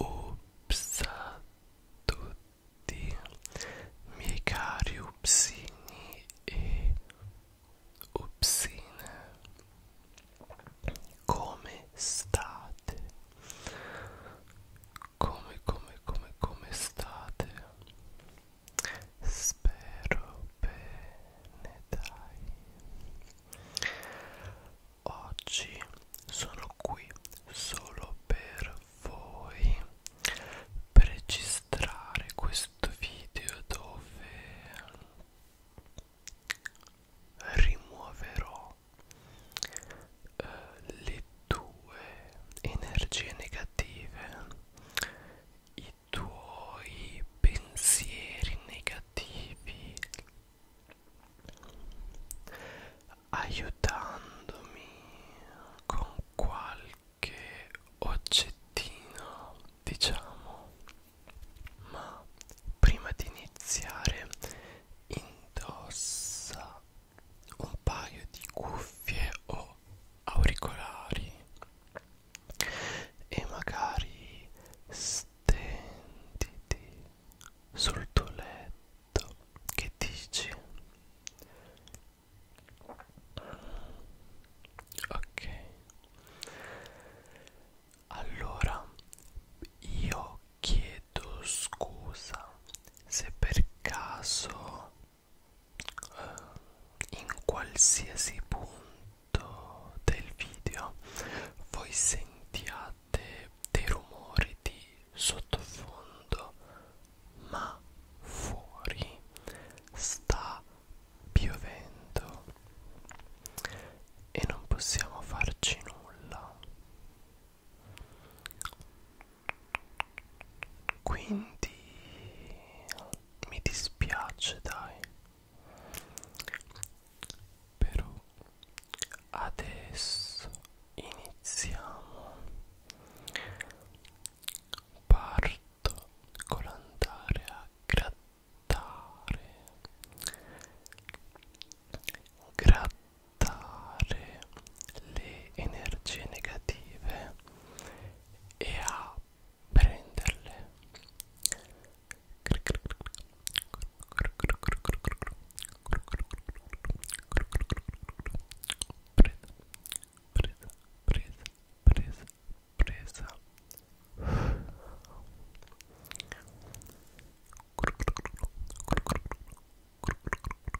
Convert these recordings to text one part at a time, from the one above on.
Ups a tutti miei cari upsini e upsine come state? Come come come come state? Spero bene, dai. Oggi sono qui solo per voi per registrare questo video dove rimuoverò eh, le tue energie negative, i tuoi pensieri negativi, aiutandomi con qualche oggettino, diciamo. Ma prima di iniziare, indossa un paio di cuffie o auricolari e magari stenditi sul tuo letto che dici ok allora io chiedo scusa se per caso in qualsiasi punto del video voi sentiate dei rumori di sottofondo ma fuori sta piovendo e non possiamo farci nulla quindi mi dispiace dai però adesso iniziamo parto con l'andare a grattare grattare le energie negative e a prenderle presa presa presa presa presa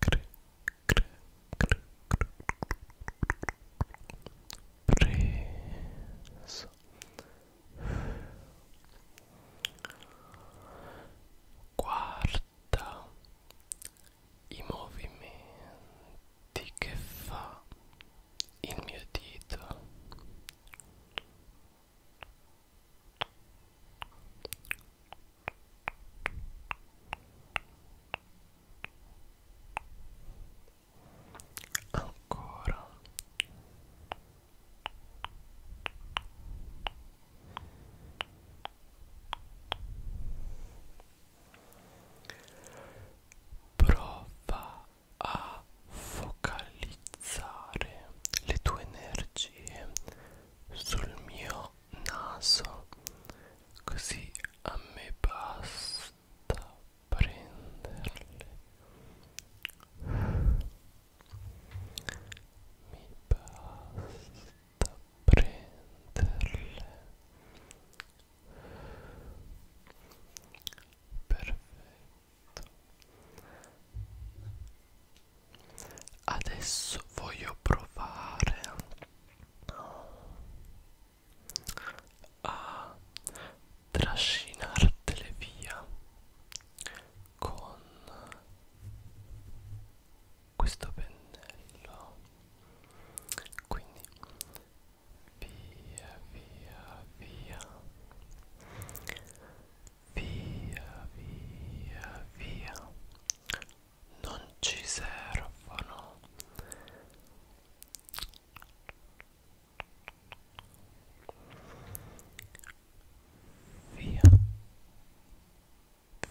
preso guarda i movimenti che fa il mio dito ancora prova a focalizzare le tue energie sul mio naso così a me basta prenderle mi basta prenderle perfetto adesso voglio provare a trascinartele via con questo pennello quindi via via via via via via non ci servono via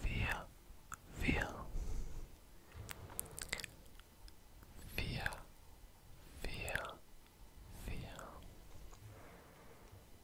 via via via via via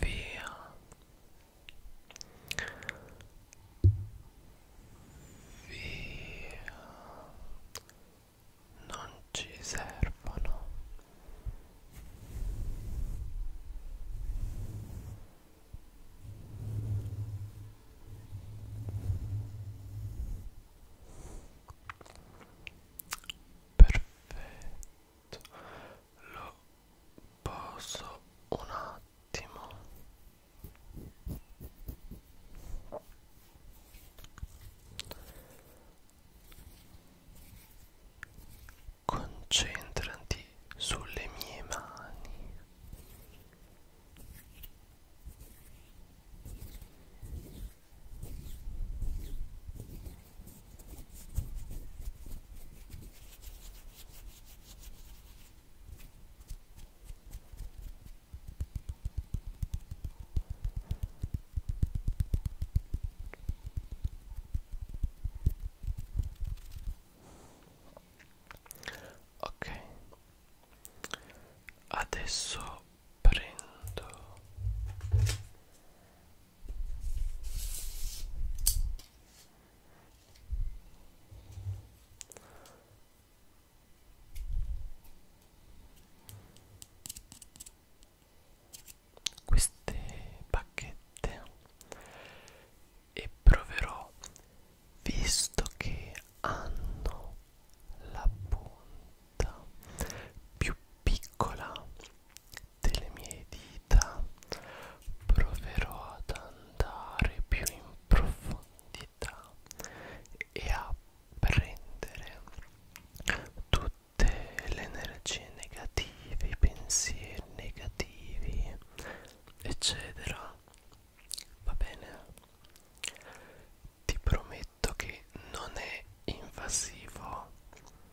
via via non ci servono perfetto lo posso un attimo concentrati sulle mie mani Ok, adesso prendo queste bacchette e proverò visto che hanno la punta più piccola delle mie dita vita proverò ad andare più in profondità e a prendere tutte le energie negative, i pensieri negativi, eccetera. Va bene? Ti prometto che non è invasivo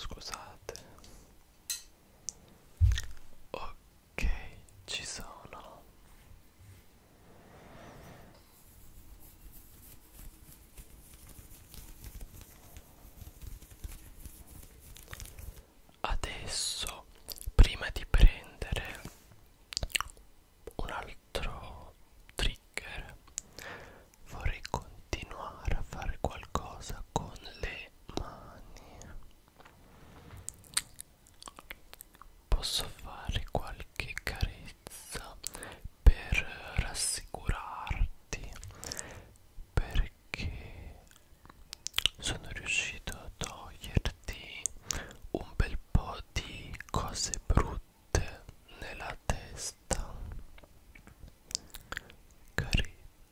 Scusate Ok, ci sono. Adesso, prima di prendere un altro trigger, vorrei continuare a fare qualcosa con le mani posso fare qualche carezza per rassicurarti perché sono riuscito a toglierti un bel po' di cose brutte nella testa carezza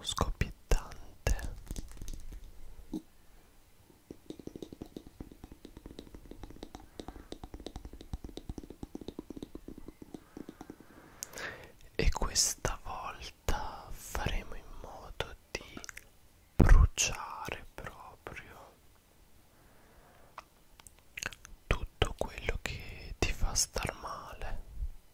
scoppiettante e questa volta faremo in modo di bruciare proprio tutto quello che ti fa star male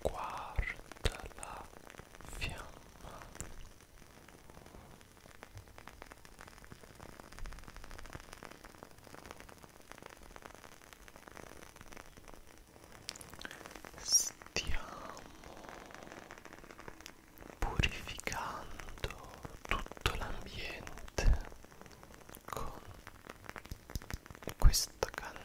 guarda la fiamma stiamo purificando tutto l'ambiente con questa candela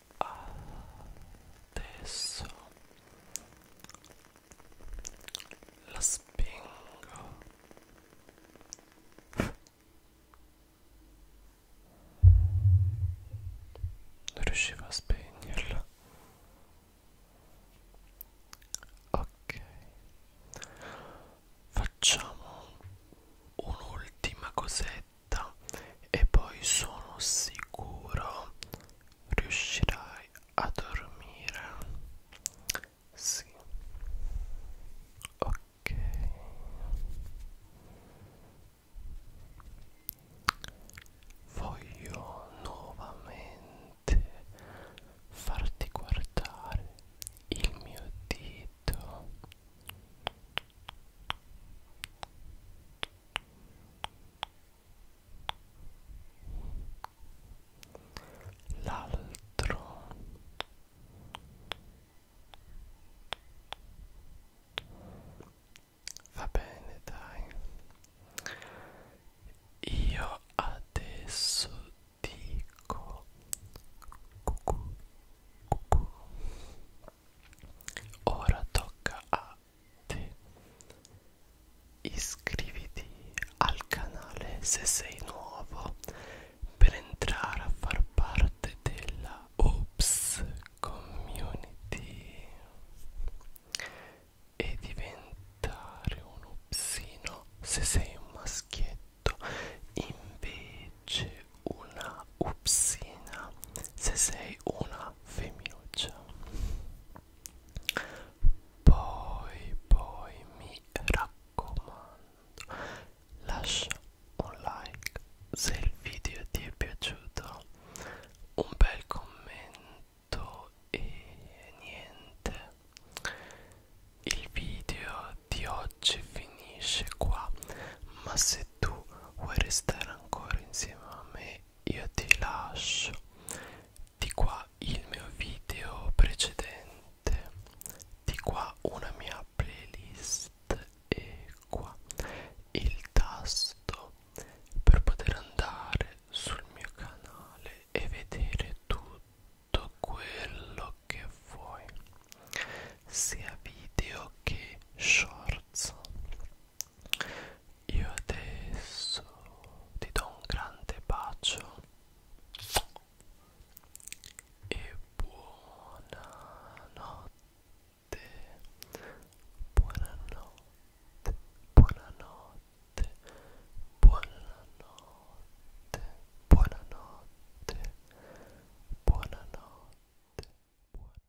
adesso la spengo non riuscivo a spegnerla ok facciamo un'ultima cosetta e poi sono sicuro riuscirai a dormire sì ok voglio nuovamente farti guardare il mio dito l'altro va bene dai io adesso dico cucù, cucù. ora tocca a iscriviti al canale se sei nuovo per entrare a far parte della Oops Community e diventare un upsino se sei un maschietto invece una upsina se sei una una femminuccia poi poi mi raccomando lascia un like se il video ti è piaciuto un bel commento e niente il video di oggi finisce qua ma se tu vuoi restare ancora insieme a me io ti lascio di qua il mio video precedente di qua una mia playlist e qua il tasto per poter andare sul mio canale e vedere tutto quello che vuoi sia video che shorts io adesso ti do un grande bacio e buonanotte, buonanotte, buonanotte, buonanotte, buonanotte, buonanotte. buonanotte.